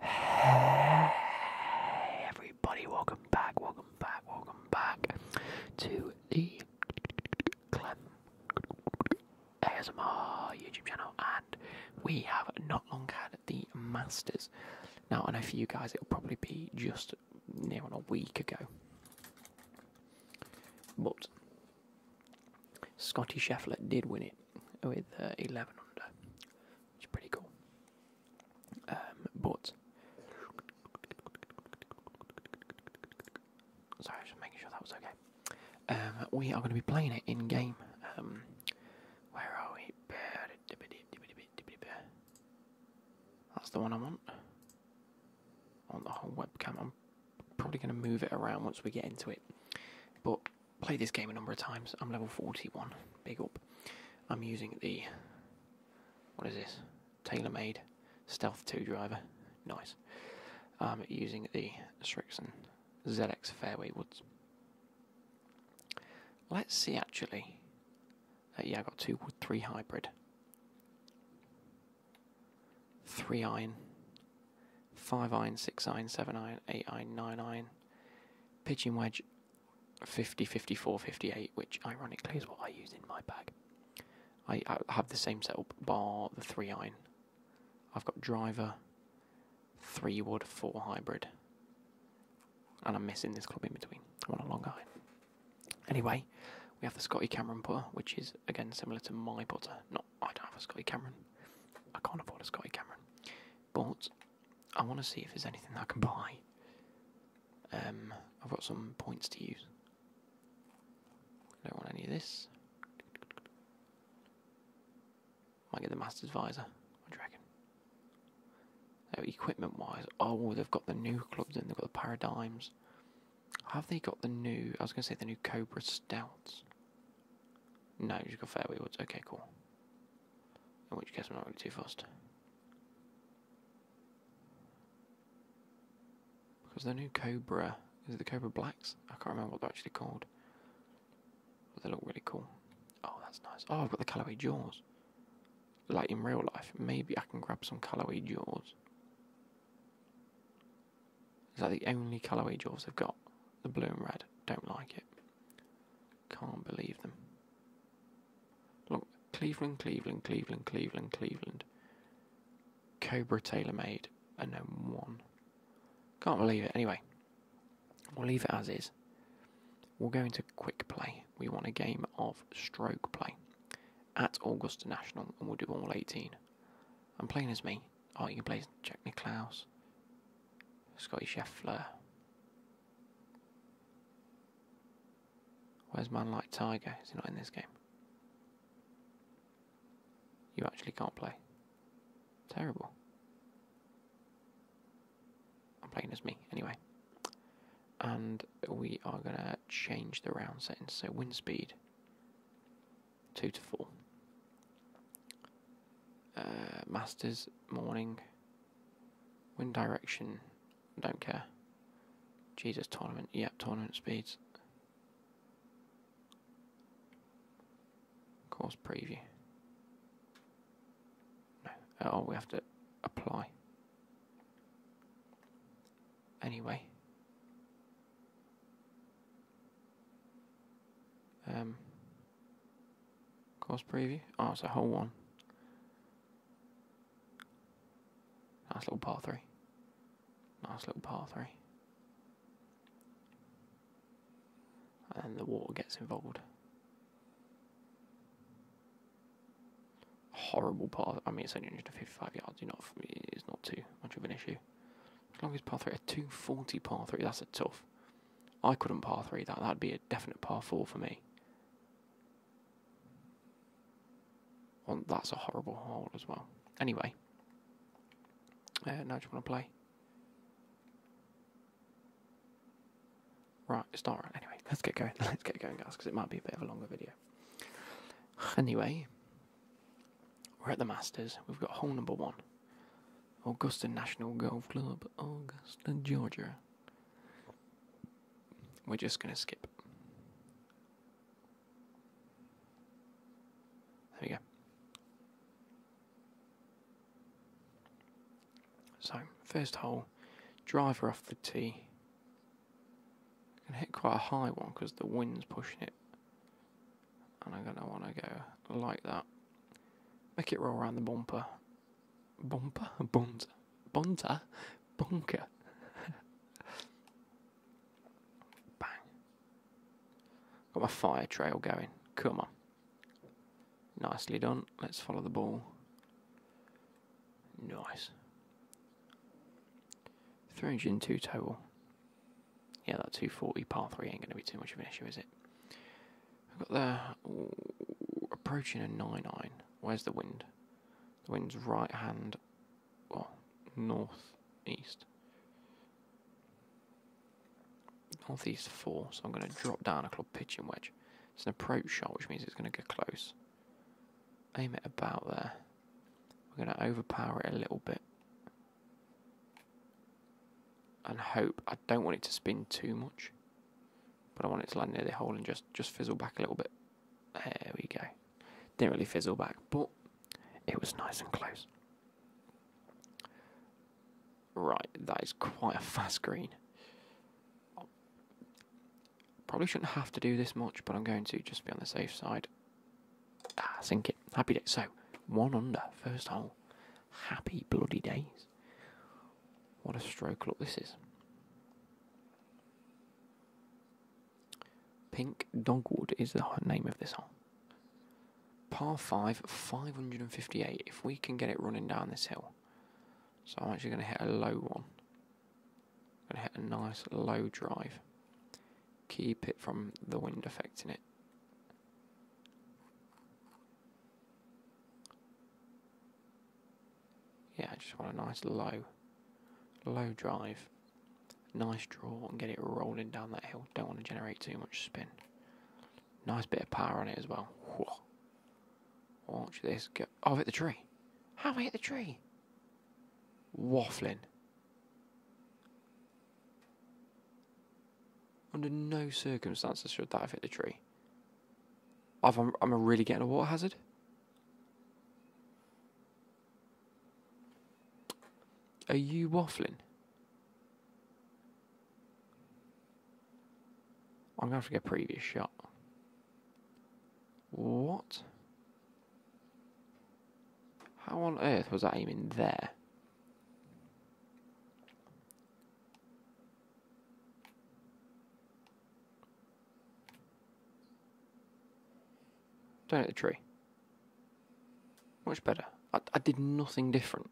Hey everybody, welcome back, welcome back, welcome back to the Clem ASMR YouTube channel and we have not long had the Masters. Now I know for you guys it'll probably be just near on a week ago. But Scotty Scheffler did win it with uh, 11 under which pretty cool. Um, but sorry, just making sure that was okay. Um, we are going to be playing it in game. Um, where are we? That's the one I want. On the whole webcam, I'm probably going to move it around once we get into it. But played this game a number of times. I'm level 41. Big up. I'm using the what is this? Tailor-made Stealth 2 driver. Nice. Um, using the Strixon ZX Fairway Woods. Let's see actually. Uh, yeah, I got two wood three hybrid. Three iron. Five iron, six iron, seven iron, eight iron, nine iron. pitching wedge, 50, 54, 58, which ironically is what I use in my bag. I, have the same setup, bar the three iron. I've got driver, three wood, four hybrid. And I'm missing this club in between. I want a longer iron. Anyway, we have the Scotty Cameron putter, which is again similar to my putter. Not, I don't have a Scotty Cameron. I can't afford a Scotty Cameron. But I want to see if there's anything I can buy. Um, I've got some points to use. I don't want any of this. Might get the Master's advisor. What do So equipment wise, oh, they've got the new clubs and they've got the Paradigms. Have they got the new, I was going to say the new Cobra Stouts. No, you've got Fairway Woods. Okay, cool. In which case I'm not really too fast. Because the new Cobra, is the Cobra Blacks? I can't remember what they're actually called. But they look really cool. Oh, that's nice. Oh, I've got the Callaway Jaws. Like in real life, maybe I can grab some Callaway Jaws. Is that the only Callaway Jaws i have got? The blue and red. Don't like it. Can't believe them. Look, Cleveland, Cleveland, Cleveland, Cleveland, Cleveland. Cobra tailor-made, and no one. Can't believe it. Anyway, we'll leave it as is. We'll go into quick play. We want a game of stroke play at Augusta National, and we'll do all 18. I'm playing as me. Oh, you can play Jack Nicklaus, Scotty Scheffler, Where's Man Like Tiger? Is he not in this game? You actually can't play. Terrible. I'm playing as me, anyway. And we are going to change the round settings. So, wind speed 2 to 4. Uh, masters, morning, wind direction, don't care. Jesus tournament, yep, tournament speeds. Course preview. No, uh, oh, we have to apply. Anyway. Um, Course preview. Oh, it's a whole one. Nice little par three. Nice little par three. And the water gets involved. Horrible par. I mean, it's only 155 yards. You're not. It's not too much of an issue. As long as par three, a 240 par three. That's a tough. I couldn't par three that. That'd be a definite par four for me. And that's a horrible hole as well. Anyway, uh, now do want to play? Right, start right. Anyway, let's get going. Let's get going, guys, because it might be a bit of a longer video. Anyway, we're at the Masters. We've got hole number one. Augusta National Golf Club, Augusta, Georgia. We're just going to skip. There we go. So, first hole, driver off the tee. I can hit quite a high one because the wind's pushing it. And I'm going to want to go like that. Make it roll around the bumper Bomba? Bonza. Bonza? Bunker. Bang. Got my fire trail going. Come on. Nicely done. Let's follow the ball. Nice. 302 total. Yeah, that 240 par 3 ain't going to be too much of an issue, is it? I've got the approaching a nine iron. Where's the wind? The wind's right hand, well, north east. Northeast four, so I'm going to drop down a club pitching wedge. It's an approach shot, which means it's going to get close. Aim it about there. We're going to overpower it a little bit. And hope. I don't want it to spin too much but I want it to land near the hole and just, just fizzle back a little bit. There we go. Didn't really fizzle back, but it was nice and close. Right, that is quite a fast green. Probably shouldn't have to do this much, but I'm going to just be on the safe side. Ah, sink it. Happy day. So, one under, first hole. Happy bloody days. What a stroke look this is. Pink Dogwood is the name of this hole. Par 5, 558. If we can get it running down this hill. So I'm actually going to hit a low one. and hit a nice low drive. Keep it from the wind affecting it. Yeah, I just want a nice low, low drive, nice draw and get it rolling down that hill. Don't want to generate too much spin. Nice bit of power on it as well. Watch this oh, I've hit the tree. How have I hit the tree? Waffling. Under no circumstances should that have hit the tree i I'm, i really getting a water hazard. Are you waffling? I'm going to have to get previous shot. What? How on earth was I aiming there? Don't hit the tree. Much better. I, I did nothing different.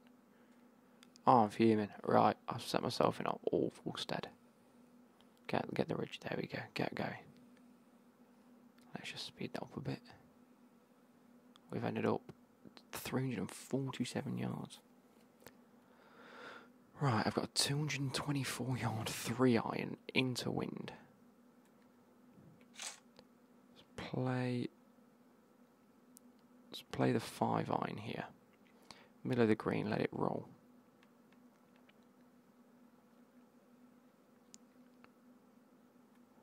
Oh, I'm fuming. Right, I've set myself in an awful stead. Get, get the ridge. There we go. Get going. Let's just speed that up a bit. We've ended up 347 yards. Right, I've got a 224 yard three iron into wind. Let's play. Let's play the five iron here. Middle of the green, let it roll.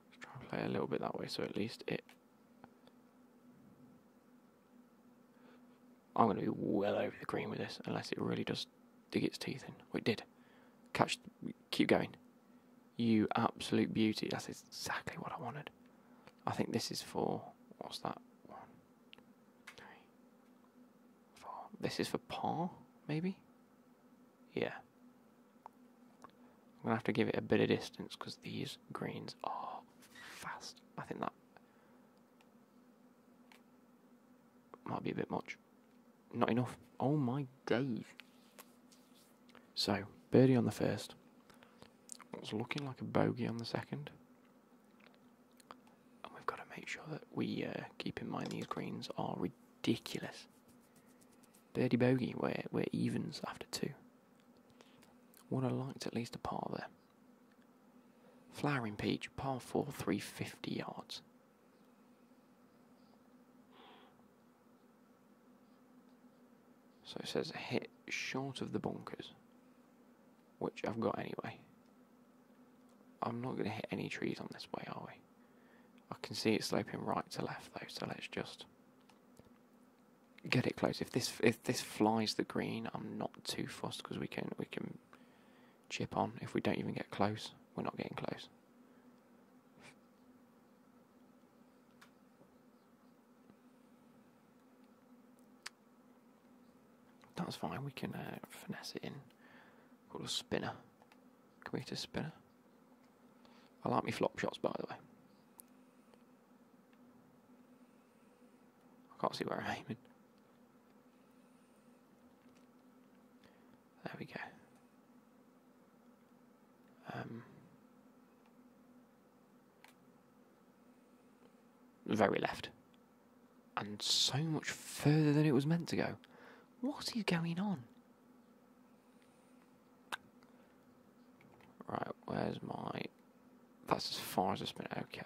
Let's try and play a little bit that way so at least it I'm going to be well over the green with this, unless it really does dig its teeth in. Well, it did. Catch, keep going. You absolute beauty. That's exactly what I wanted. I think this is for, what's that? One, three, four. This is for par, maybe? Yeah. I'm going to have to give it a bit of distance because these greens are fast. I think that might be a bit much. Not enough. Oh my days. So, birdie on the first. Was looking like a bogey on the second. And we've got to make sure that we uh, keep in mind these greens are ridiculous. Birdie bogey, we're, we're evens after two. What have liked at least a par there. Flowering Peach, par 4, 350 yards. So it says hit short of the bunkers, which I've got anyway. I'm not going to hit any trees on this way, are we? I can see it sloping right to left though, so let's just get it close. If this if this flies the green, I'm not too fast because we can we can chip on if we don't even get close. We're not getting close. That's fine. We can uh, finesse it in. Call a spinner. Can we get a spinner? I like me flop shots, by the way. I can't see where I'm aiming. There we go. Um, very left. And so much further than it was meant to go. What is going on? Right, where's my... That's as far as it's been. Okay.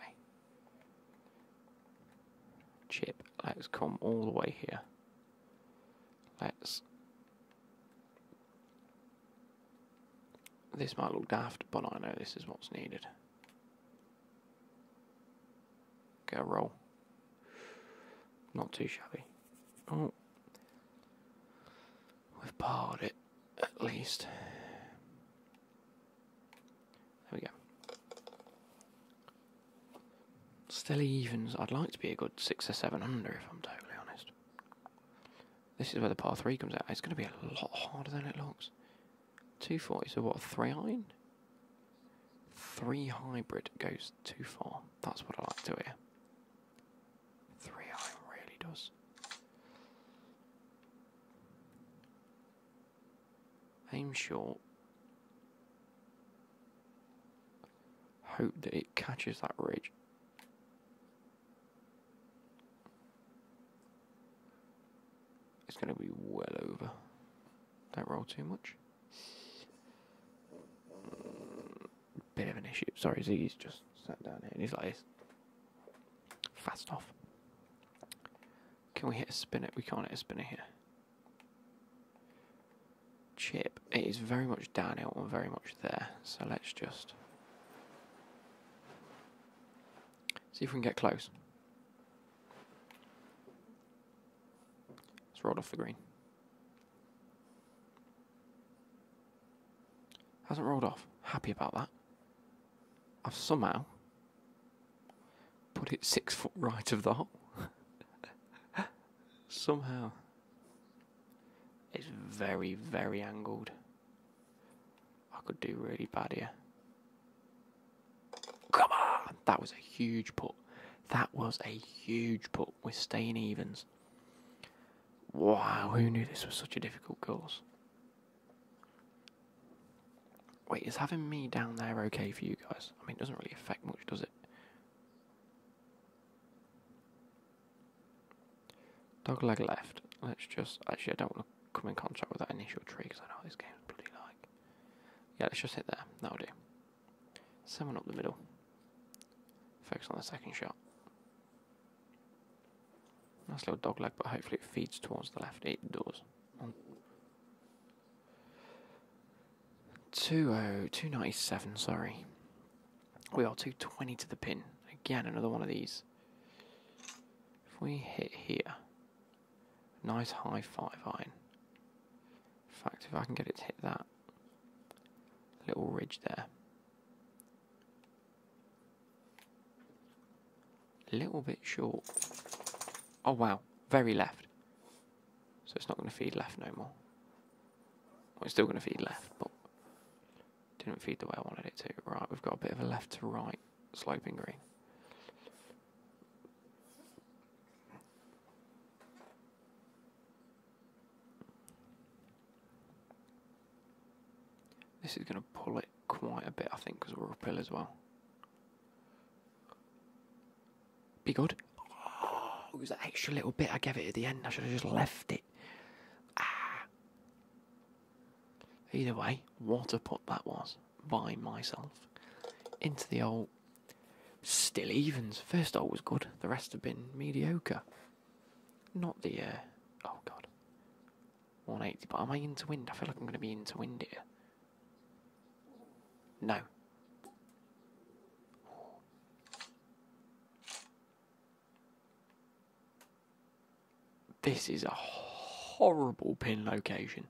Chip, let's come all the way here. Let's... This might look daft, but I know this is what's needed. Go roll. Not too shabby. Oh. We've parred it, at least. There we go. Still evens. I'd like to be a good six or seven under, if I'm totally honest. This is where the par three comes out. It's going to be a lot harder than it looks. 240, so what, three iron? Three hybrid goes too far. That's what I like to hear. Three iron really does aim short. Hope that it catches that ridge. It's going to be well over. Don't roll too much. Bit of an issue. Sorry, He's just sat down here and he's like this. Fast off. Can we hit a spinner? We can't hit a spinner here. Chip. It is very much downhill and very much there. So let's just... See if we can get close. It's rolled off the green. Hasn't rolled off. Happy about that. I've somehow put it six foot right of the hole. somehow. It's very, very angled. I could do really bad here. Come on! That was a huge putt. That was a huge putt. We're staying evens. Wow, who knew this was such a difficult course? Wait, is having me down there okay for you guys? I mean, it doesn't really affect much, does it? Dog leg left. Let's just. Actually, I don't want to come in contact with that initial tree because I know this game's bloody like. Yeah, let's just hit there. That'll do. Someone up the middle. Focus on the second shot. Nice little dog leg, but hopefully it feeds towards the left. It doors. 20, sorry. We are 220 to the pin. Again, another one of these. If we hit here, nice high five iron. In fact, if I can get it to hit that little ridge there, a little bit short. Oh wow, very left. So it's not going to feed left no more. We're still going to feed left, but didn't feed the way I wanted it to. Right, we've got a bit of a left to right sloping green. This is going to pull it quite a bit, I think, because we're a pill as well. Be good. Oh, it was that extra little bit I gave it at the end. I should have just left it. Ah. Either way, what a put that was by myself. Into the old still evens. First hole was good. The rest have been mediocre. Not the uh, oh god. 180, but am I into wind? I feel like I'm going to be into wind here. No. This is a horrible pin location.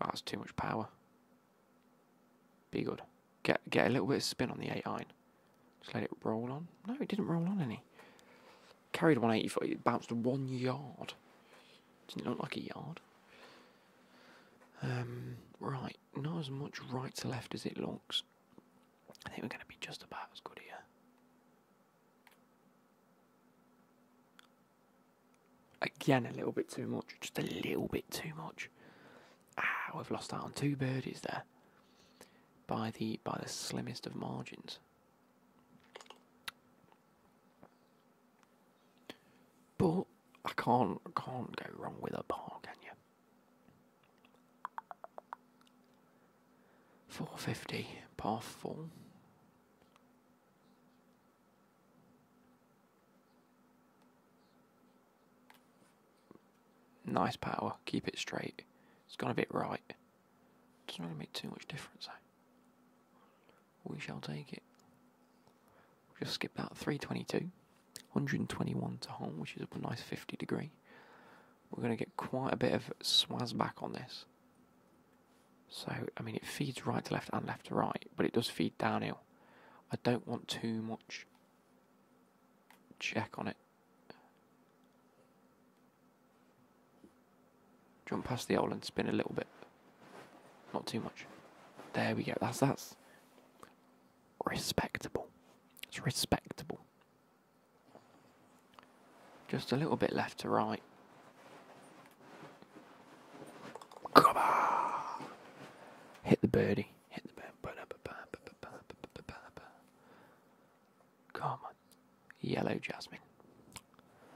Oh, that's too much power. Be good. Get get a little bit of spin on the 8 iron. Just let it roll on. No, it didn't roll on any. Carried 180 it bounced one yard. does not look like a yard. Um, right, not as much right to left as it looks. I think we're going to be just about as good here. Again, a little bit too much. Just a little bit too much. Ah, we've lost out on two birdies there. By the by the slimmest of margins. But I can't can't go wrong with a par, can you? Four fifty, par full. Nice power, keep it straight. It's gone a bit right. It's not gonna make too much difference, eh? We shall take it. We'll just skip that. 322. 121 to home, which is a nice 50 degree. We're going to get quite a bit of swaz back on this. So, I mean, it feeds right to left and left to right, but it does feed downhill. I don't want too much check on it. Jump past the owl and spin a little bit. Not too much. There we go. That's that's respectable. It's respectable. Just a little bit left to right. Come on! Hit the birdie. Hit the birdie. Karma. Yellow Jasmine.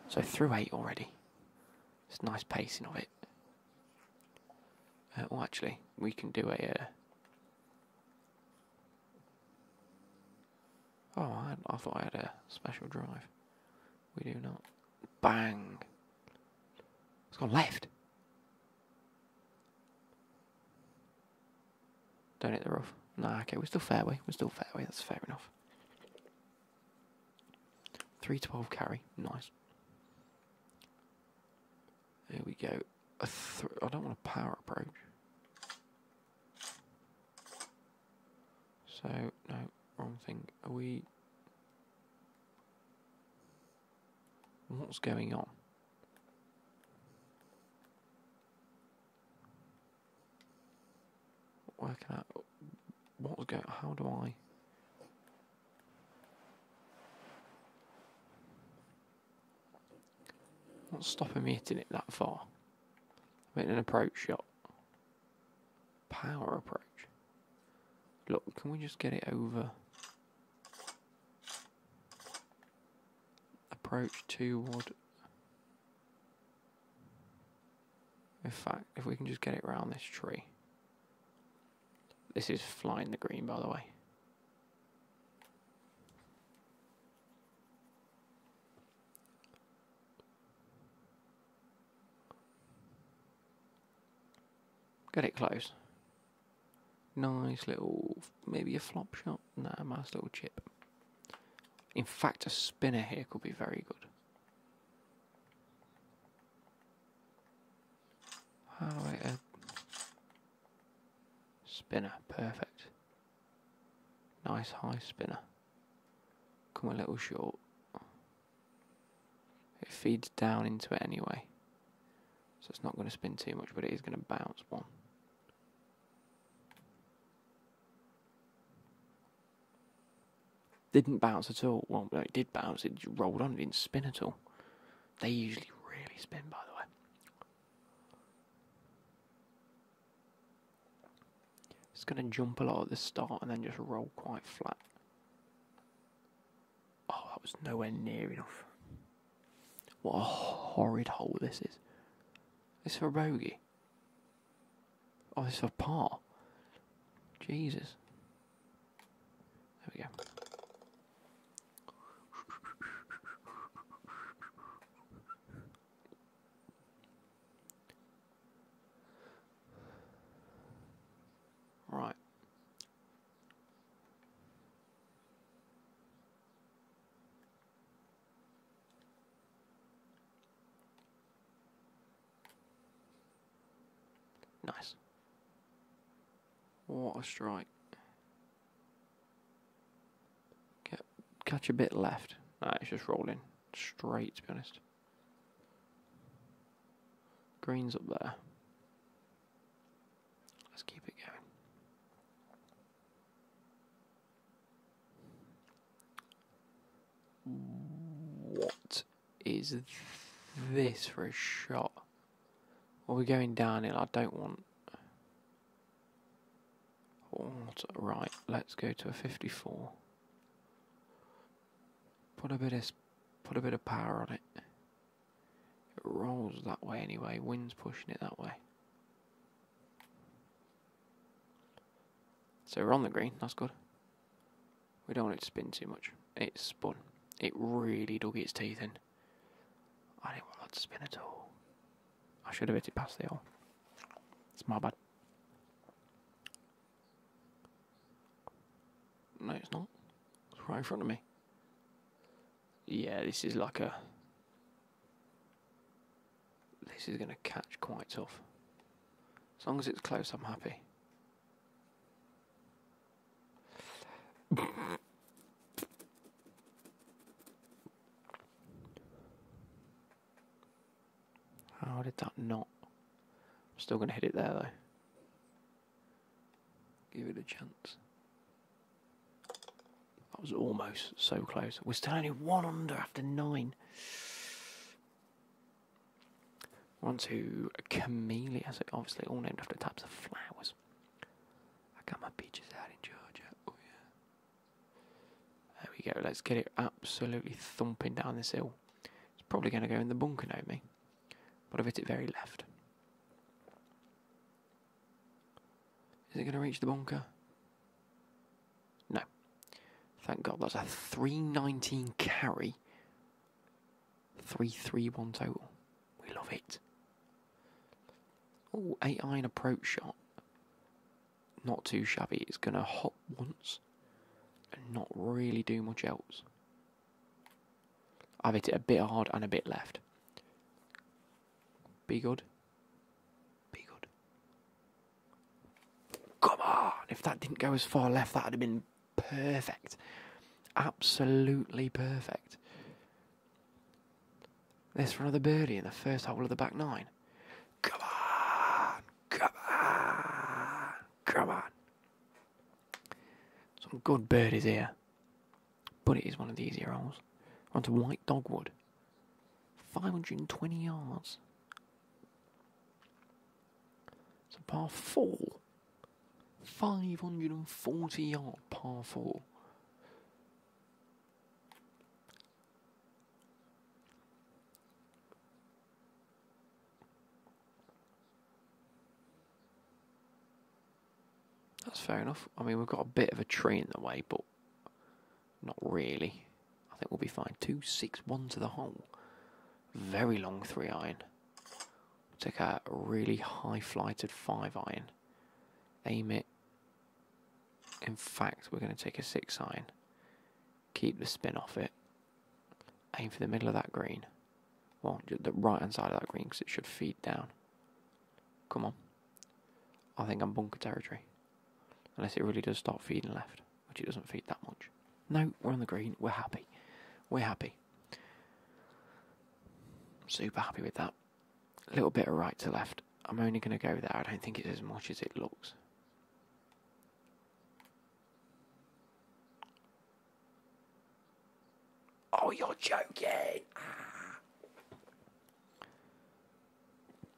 So through eight already. It's nice pacing of it. Uh, well, actually, we can do a. Uh, oh, I, thought I had a special drive. We do not. Bang! It's gone left. Don't hit the rough. Nah, okay, we're still fairway. We're still fairway. That's fair enough. 312 carry. Nice. There we go. I I don't want a power approach. So, no, wrong thing. Are we... What's going on? Where can I? What's going? How do I? Don't stopping me hitting it that far? i an approach shot. Power approach. Look, can we just get it over? Approach toward in fact, if we can just get it round this tree. This is flying the green, by the way. Get it close. Nice little, maybe a flop shot. nice little chip. In fact, a spinner here could be very good. Oh, wait, a spinner, perfect. Nice high spinner. Come a little short. It feeds down into it anyway. So it's not going to spin too much, but it is going to bounce one. Didn't bounce at all. Well, it did bounce. It rolled on. It didn't spin at all. They usually really spin, by the way. It's going to jump a lot at the start and then just roll quite flat. Oh, that was nowhere near enough. What a horrid hole this is. It's for a bogey. Oh, this is a par. Jesus. There we go. Right. Nice. What a strike. catch a bit left. No, it's just rolling straight, to be honest. Green's up there. Let's keep it going. What is this for a shot? Well, we're going downhill. I don't want... Right, let's go to a 54. Put a bit of put a bit of power on it. It rolls that way anyway. Wind's pushing it that way. So we're on the green, that's good. We don't want it to spin too much. It spun. It really dug its teeth in. I didn't want that to spin at all. I should have hit it past the hole. It's my bad. No, it's not. It's right in front of me. Yeah, this is like a this is going to catch quite tough. As long as it's close, I'm happy. How did that not? I'm still going to hit it there though. Give it a chance. That was almost so close. We're still only one under after nine. One to Camellia, so obviously all named after types of flowers. I got my peaches out in Georgia. Oh yeah. There we go. Let's get it absolutely thumping down this hill. It's probably going to go in the bunker, no me. But I've hit it very left. Is it going to reach the bunker? No. Thank God that's a 319 carry. 331 total. We love it. Oh, 8 iron approach shot. Not too shabby. It's going to hop once and not really do much else. I've hit it a bit hard and a bit left. Be good. Be good. Come on! If that didn't go as far left, that would have been perfect. Absolutely perfect. There's for another birdie in the first hole of the back nine. Come on! Come on! Come on! Some good birdies here. But it is one of the easier holes. to White Dogwood. 520 yards. It's a par four. 540 yard par four. That's fair enough. I mean, we've got a bit of a tree in the way, but not really. I think we'll be fine. Two six one to the hole. Very long 3 iron. take a really high flighted 5 iron. Aim it. In fact, we're going to take a 6 iron. Keep the spin off it. Aim for the middle of that green. Well, the right hand side of that green because it should feed down. Come on. I think I'm bunker territory. Unless it really does start feeding left which it doesn't feed that much. No, we're on the green. We're happy. We're happy. Super happy with that. A little bit of right to left. I'm only going to go there. I don't think it's as much as it looks. Oh, you're joking! Ah.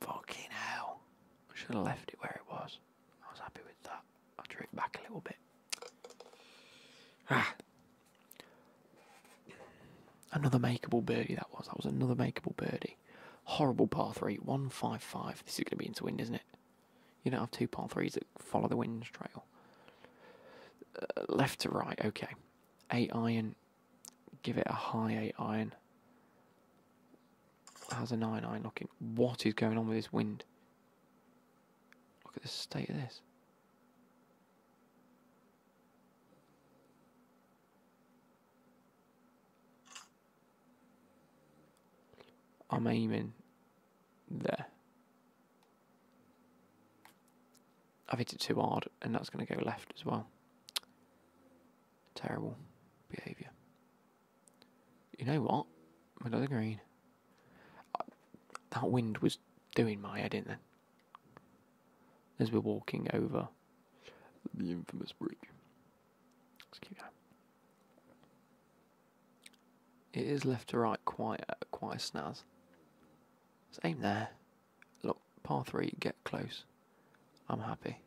Fucking hell. should have left it where it was. I was happy with that. I drew it back a little bit. Ah. Another makeable birdie that was. That was another makeable birdie. Horrible par three, one five five. This is gonna be into wind, isn't it? You don't have two par threes that follow the wind's trail. Uh, left to right, okay. Eight iron. Give it a high eight iron. How's a 9 eye knocking? What is going on with this wind? Look at the state of this. I'm aiming there. I've hit it too hard and that's going to go left as well. Terrible behaviour. You know what? Another green. That wind was doing my head in then. As we're walking over the infamous bridge. Let's keep going. It is left to right quite uh, quite a snaz. let aim there. Look, par three, get close. I'm happy.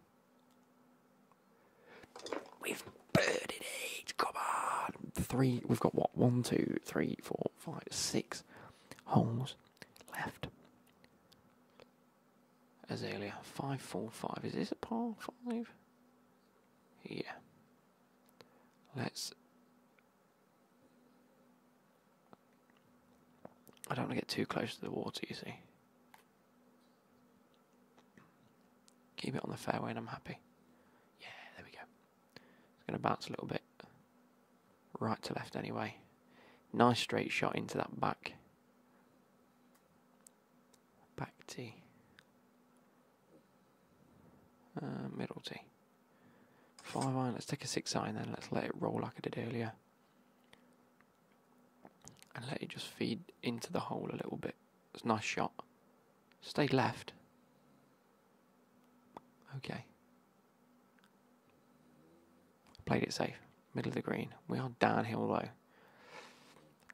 We've birded it. Come on. Three. We've got what? One, two, three, four, five, six holes left. Azalea, five, four, five. Is this a par five? Yeah. Let's. I don't want to get too close to the water, you see. Keep it on the fairway and I'm happy. Yeah, there we go. It's going to bounce a little bit. Right to left anyway. Nice straight shot into that back. Back tee. Uh, middle tee. Five iron. Let's take a six iron then. Let's let it roll like I did earlier and let it just feed into the hole a little bit. It's a nice shot. Stay left. Okay. Played it safe. Middle of the green. We are downhill though.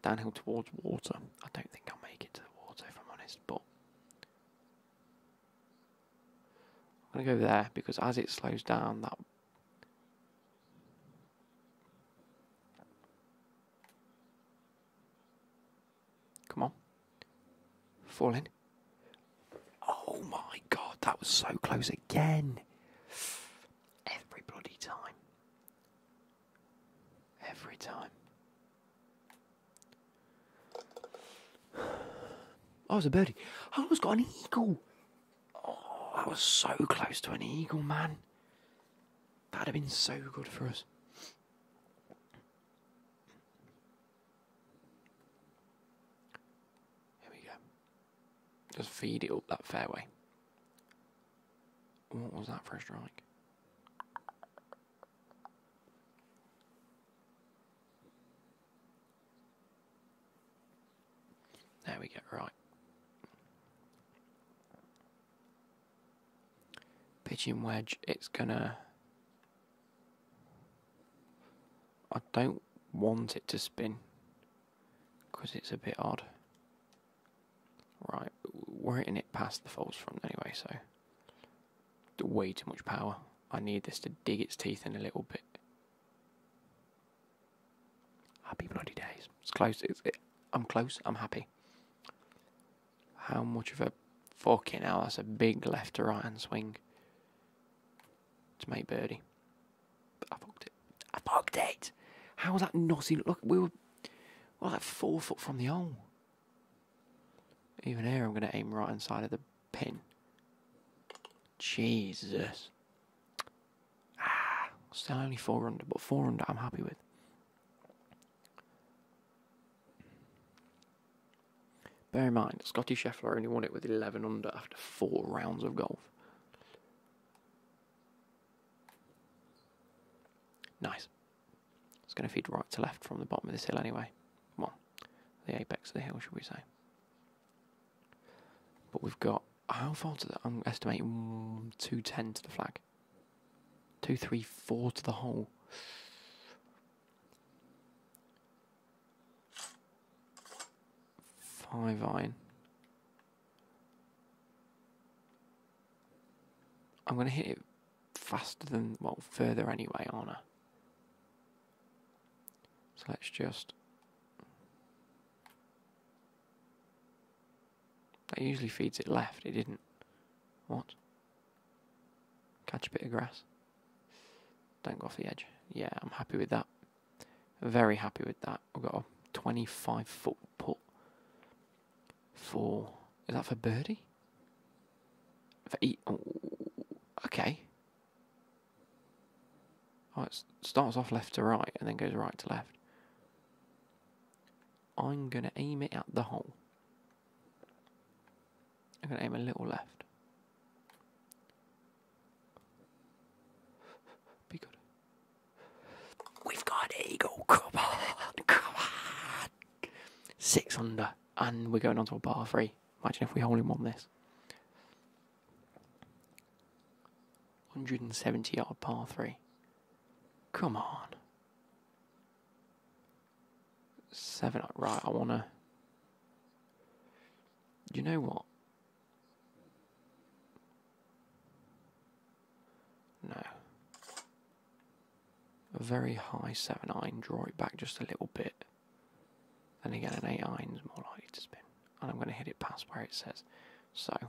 Downhill towards water. I don't think I'll make it to the water if I'm honest, but I'm going to go there because as it slows down, that Come on. Fall in. Oh my god, that was so close again. Every bloody time. Every time. I was a birdie. I almost got an eagle. Oh, I was so close to an eagle, man. That'd have been so good for us. Here we go. Just feed it up that fairway. What was that first a There we go, right. Pigeon wedge, it's gonna. I don't want it to spin because it's a bit odd. Right, we're hitting it past the false front anyway, so way too much power. I need this to dig its teeth in a little bit. Happy bloody days. It's close. It's, I'm close. I'm happy. How much of a fucking hell, that's a big left to right hand swing to make birdie. I fucked it. I fucked it! How was that not Look, we were, we were like four foot from the hole. Even here, I'm going to aim right inside of the pin. Jesus. Ah, still only four under, but four under I'm happy with. Bear in mind, Scotty Scheffler only won it with 11 under after four rounds of golf. Nice. It's going to feed right to left from the bottom of this hill anyway. Well, the apex of the hill, should we say. But we've got, how far to the, I'm estimating 210 to the flag. Two, three, four to the hole. Five iron. I'm going to hit it faster than, well, further anyway, aren't So let's just that usually feeds it left, it didn't. What? Catch a bit of grass. Don't go off the edge. Yeah, I'm happy with that. Very happy with that. We've got a 25 foot putt for. Is that for birdie? For e okay. Oh, it starts off left to right and then goes right to left. I'm going to aim it at the hole. I'm going to aim a little left. Be good. We've got eagle. Come on. Come on. Six under. And we're going on to a bar three. Imagine if we hold him on this. 170 yard par 3. Come on. Seven. Right, I want to. You know what? No. A very high 7 iron, draw it back just a little bit. Then again, an 8 iron's more likely to spin. And I'm going to hit it past where it says. So, I'm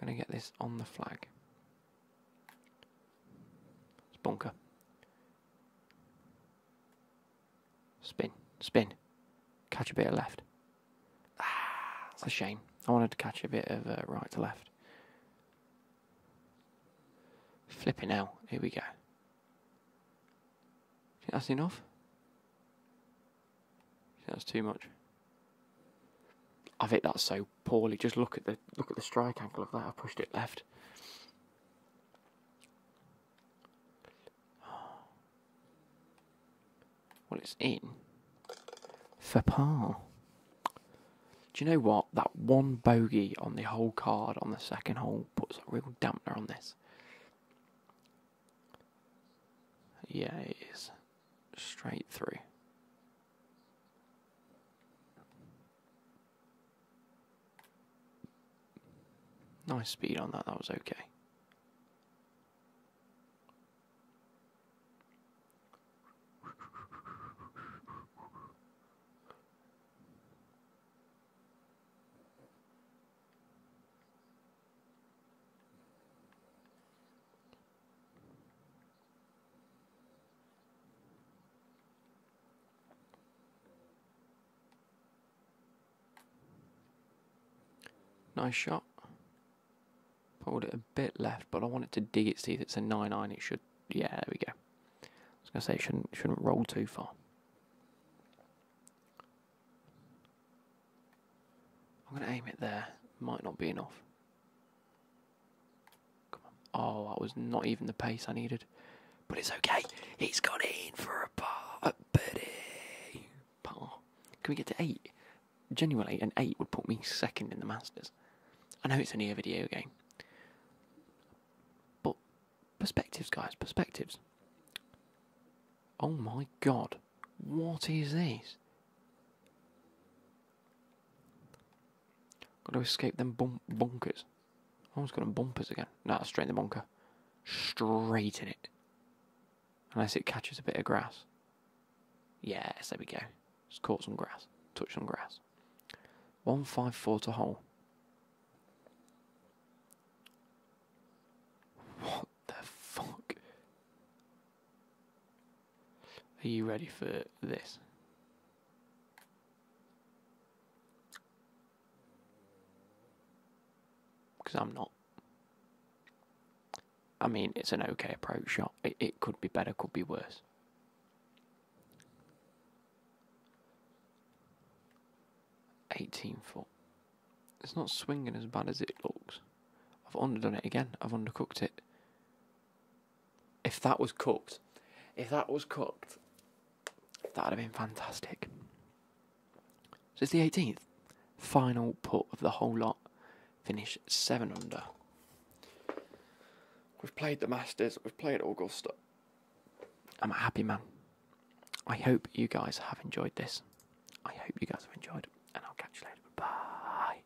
going to get this on the flag. It's bonker. Spin, spin. Catch a bit of left. Ah, that's a shame. I wanted to catch a bit of uh, right to left. Flipping out. Here we go. that's enough? that's too much? I've hit that so poorly. Just look at the look at the strike angle of that. I pushed it left. Well, it's in. For par. Do you know what? That one bogey on the whole card on the second hole puts a real dampener on this. Yeah, it is straight through. Nice speed on that, that was okay. Nice shot. Pulled it a bit left, but I want it to dig its teeth. It's a 9-9. It should... Yeah, there we go. I was going to say it shouldn't, shouldn't roll too far. I'm going to aim it there. Might not be enough. Oh, that was not even the pace I needed. But it's okay. He's gone in for a par. A birdie. Par. Can we get to eight? Genuinely, an eight would put me second in the Masters. I know it's only a video game. But perspectives, guys, perspectives. Oh my god. What is this? Got to escape them bunkers. almost got them bumpers again. No, straight in the bunker. Straight in it. Unless it catches a bit of grass. Yes, there we go. Just caught some grass. Touched some grass. One 154 to hole. What the fuck? Are you ready for this? Because I'm not. I mean, it's an okay approach shot. It, could be better, could be worse. Eighteen foot. It's not swinging as bad as it looks. I've underdone it again. I've undercooked it. If that was cooked, if that was cooked, that'd have been fantastic. So it's the 18th. Final putt of the whole lot. Finish 7 under. We've played the Masters, we've played Augusta. I'm a happy man. I hope you guys have enjoyed this. I hope you guys have enjoyed, and I'll catch you later. Bye.